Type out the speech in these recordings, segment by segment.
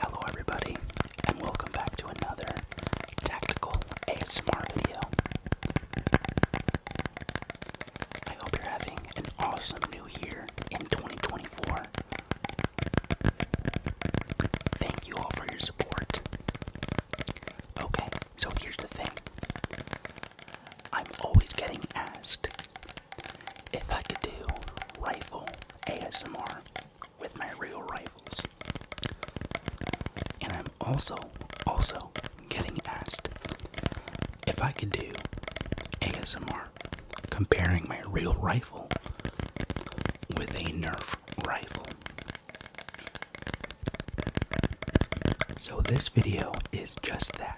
Hello, everybody, and welcome back to another tactical ASMR video. I hope you're having an awesome new year in 2024. Thank you all for your support. Okay, so here's the thing I'm always getting asked if I could do rifle ASMR with my real rifles. And I'm also, also getting asked if I could do ASMR comparing my real rifle with a Nerf rifle. So this video is just that.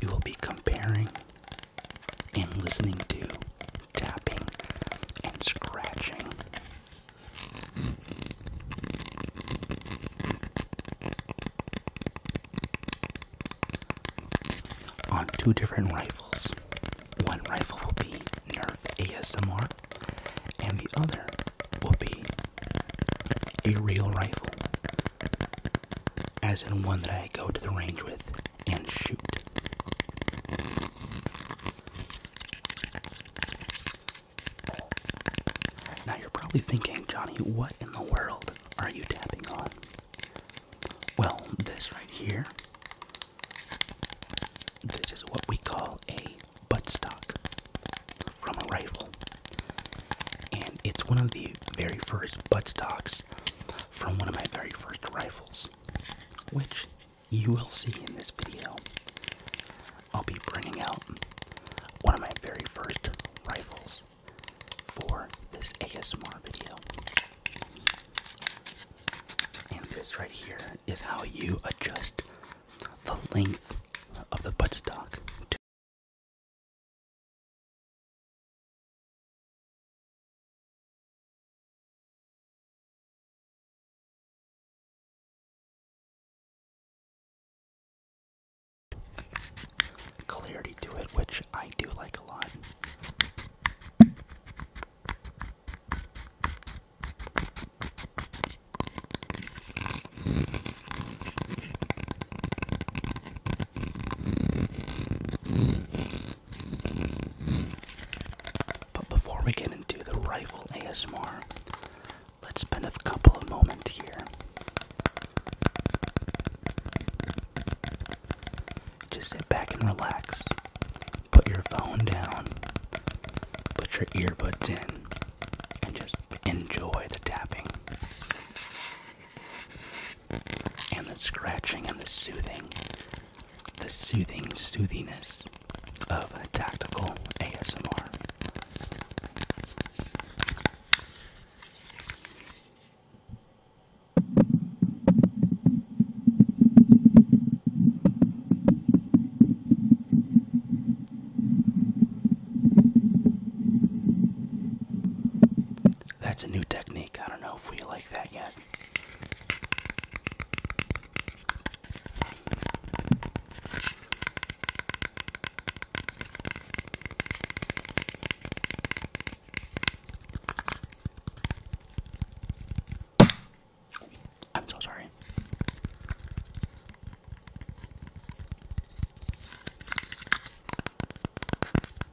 We will be comparing and listening to tapping and scratching. On two different rifles. One rifle will be Nerf ASMR, and the other will be a real rifle, as in one that I go to the range with and shoot. Now you're probably thinking, Johnny, what in the world are you tapping on? Well, this right here, this is what we call a buttstock from a rifle. And it's one of the very first buttstocks from one of my very first rifles, which you will see in this video. I'll be bringing out one of my very first rifles for this ASMR video. And this right here is how you adjust the length of the buttstock to clarity to it, which I do like a lot. But before we get into the rifle ASMR, let's spend a couple of moments here just sit back and relax put your phone down put your earbuds in and just enjoy the tapping and the scratching and the soothing, the soothing soothingness of tactical ASMR. That's a new technique. I don't know if we like that yet. I'm so sorry.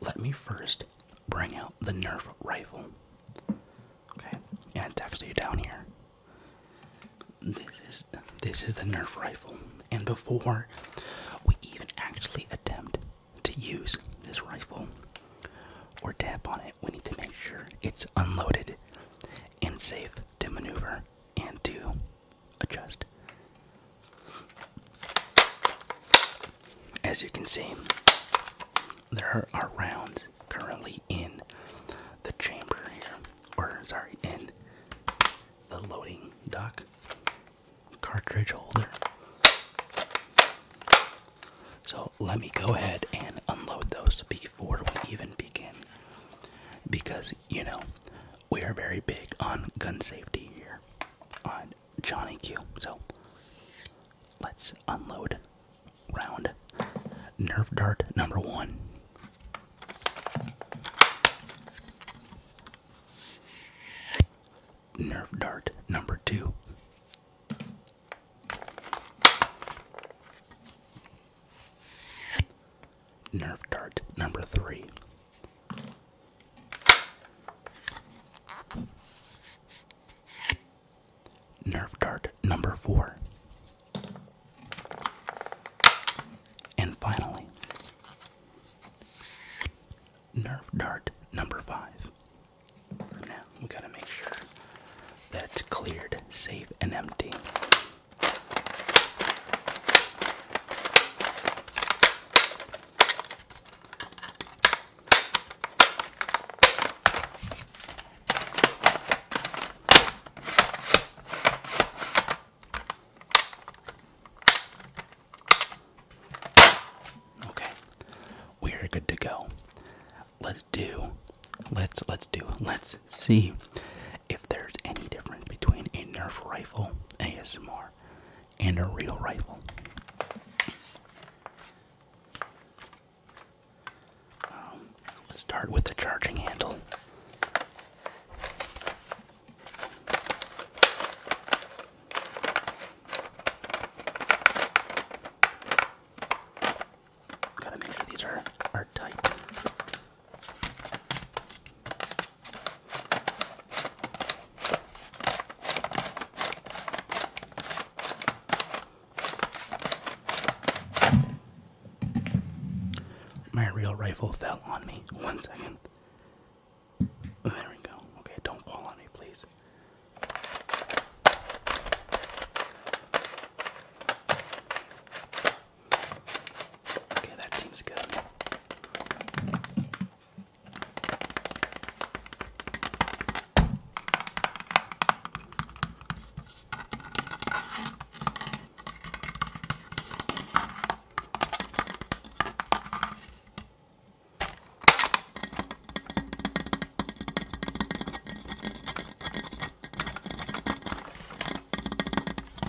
let me first bring out the Nerf rifle. Okay, and it's actually down here. This is this is the Nerf rifle, and before we even actually attempt to use this rifle or tap on it, we need to make sure it's unloaded and safe to maneuver and to adjust. As you can see, there are rounds currently in the chamber here, or sorry, in the loading dock cartridge holder. So let me go ahead and unload those before we even begin. Because, you know, we are very big on gun safety here on Johnny Q. So let's unload round Nerf Dart number one. Nerf Dart number two. Nerf Dart number three. Nerve dart number four. And finally, nerve dart number five. Now we gotta make sure that it's cleared, safe, and empty. Okay, we are good to go. Let's do, let's let's do, let's see if there's any difference between a Nerf rifle ASMR and a real rifle. Um, let's start with the charging handle. Gotta make sure these are, are tight. My real rifle fell on me. One second. There we go. Okay, don't fall on me, please. Okay, that seems good.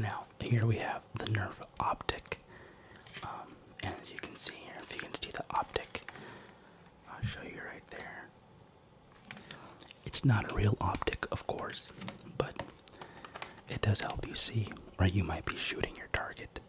Now, here we have the nerve optic, um, and as you can see here, if you can see the optic, I'll show you right there. It's not a real optic, of course, but it does help you see where you might be shooting your target.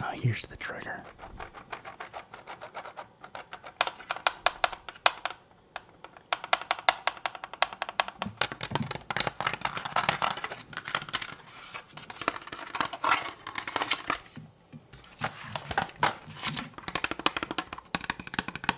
Ah, oh, here's the trigger.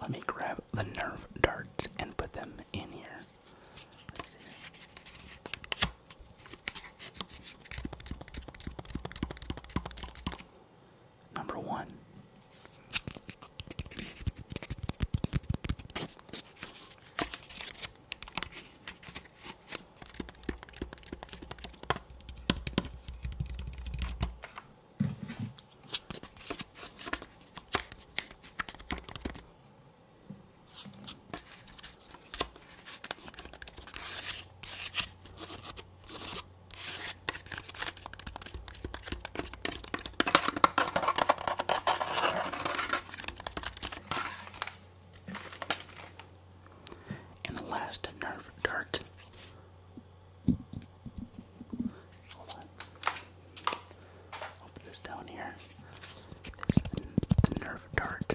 Let me grab the nerve darts and put them in here number one. And the last nerve dirt. Hold on. put this down here. nerve dart.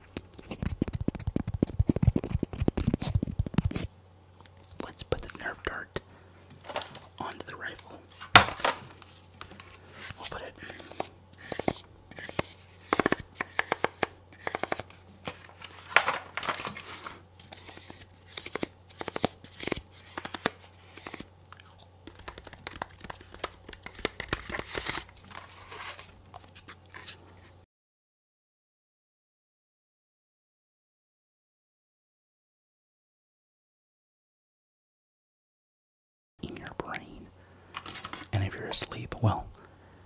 Let's put the nerve dart onto the rifle. we it in your brain. And if you're asleep, well,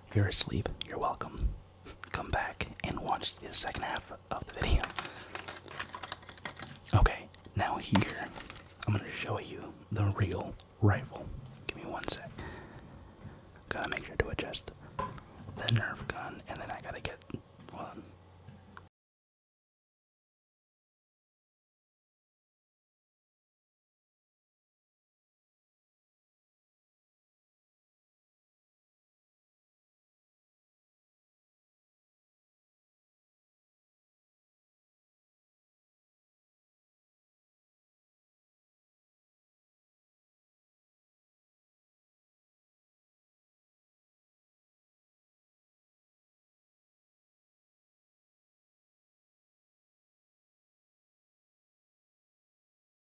if you're asleep, you're welcome. Come back and watch the second half of the video. Okay, now here, I'm gonna show you the real rifle. Give me one sec. Gotta make sure to adjust the nerve gun, and then I gotta get one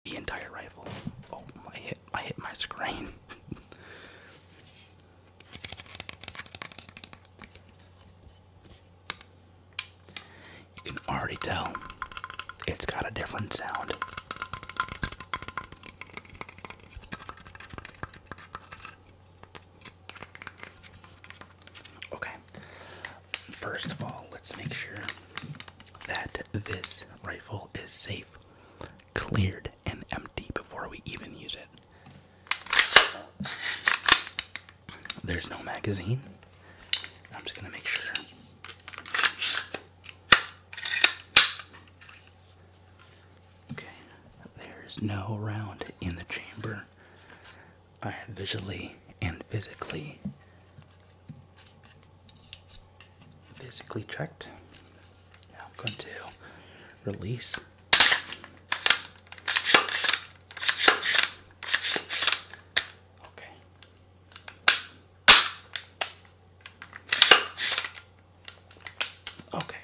the entire rifle. Oh, I hit, I hit my screen. You can already tell it's got a different sound. Okay, first of all, let's make sure that this rifle is safe, cleared, and empty before we even use it. There's no magazine. I'm just gonna make sure. Okay, there's no round in the chamber. I have visually and physically physically checked. Now I'm going to release Okay. Okay.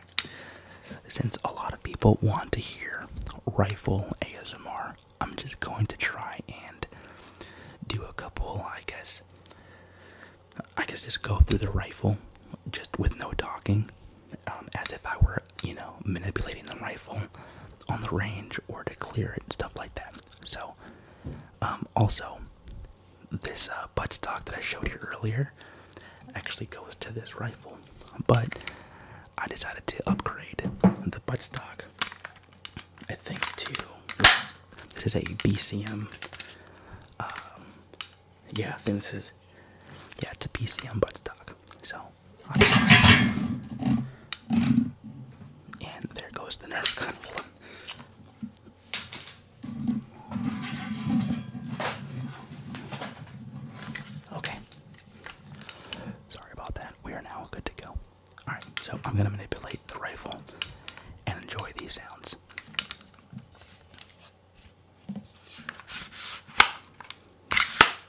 Since a lot of people want to hear rifle ASMR, I'm just going to try and do a couple, I guess. I guess just go through the rifle just with no talking, um, as if I were you know, manipulating the rifle on the range or to clear it, stuff like that. So, um, also, this uh, buttstock that I showed you earlier actually goes to this rifle, but I decided to upgrade the buttstock. I think too. this, is a BCM. Um, yeah, I think this is yeah, it's a BCM buttstock. So and there goes the Nerf gun. Okay. Sorry about that. We are now good to go. Alright, so I'm going to manipulate the rifle and enjoy these sounds.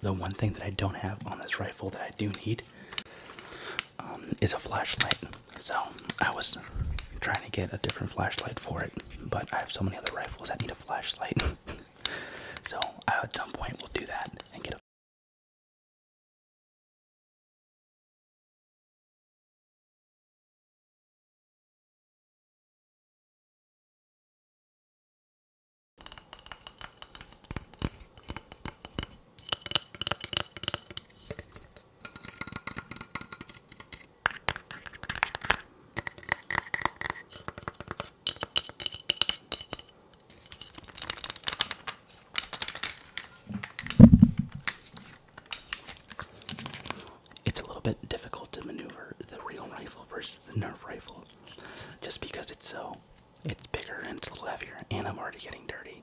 The one thing that I don't have on this rifle that I do need um, is a flashlight. So I was trying to get a different flashlight for it, but I have so many other rifles that need a flashlight. So at some point we'll do that and get a it's a little bit difficult to maneuver the real rifle versus the Nerf rifle just because it's so it's bigger and it's a little heavier and I'm already getting dirty.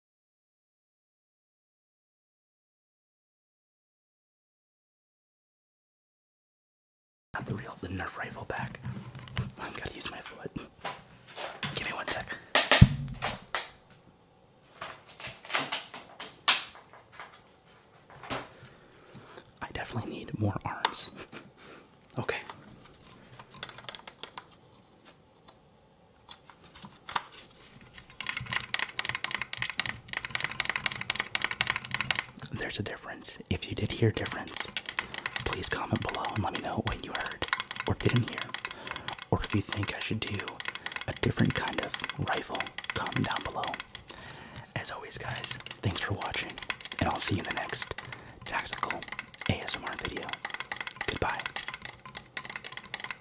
Not the real, the Nerf rifle back. I am going to use my foot. Give me one sec. I definitely need more arms. okay. There's a difference. If you did hear difference, please comment below and let me know what you heard or didn't hear. Or if you think I should do a different kind of rifle, comment down below. As always, guys, thanks for watching, and I'll see you in the next tactical ASMR video. Goodbye.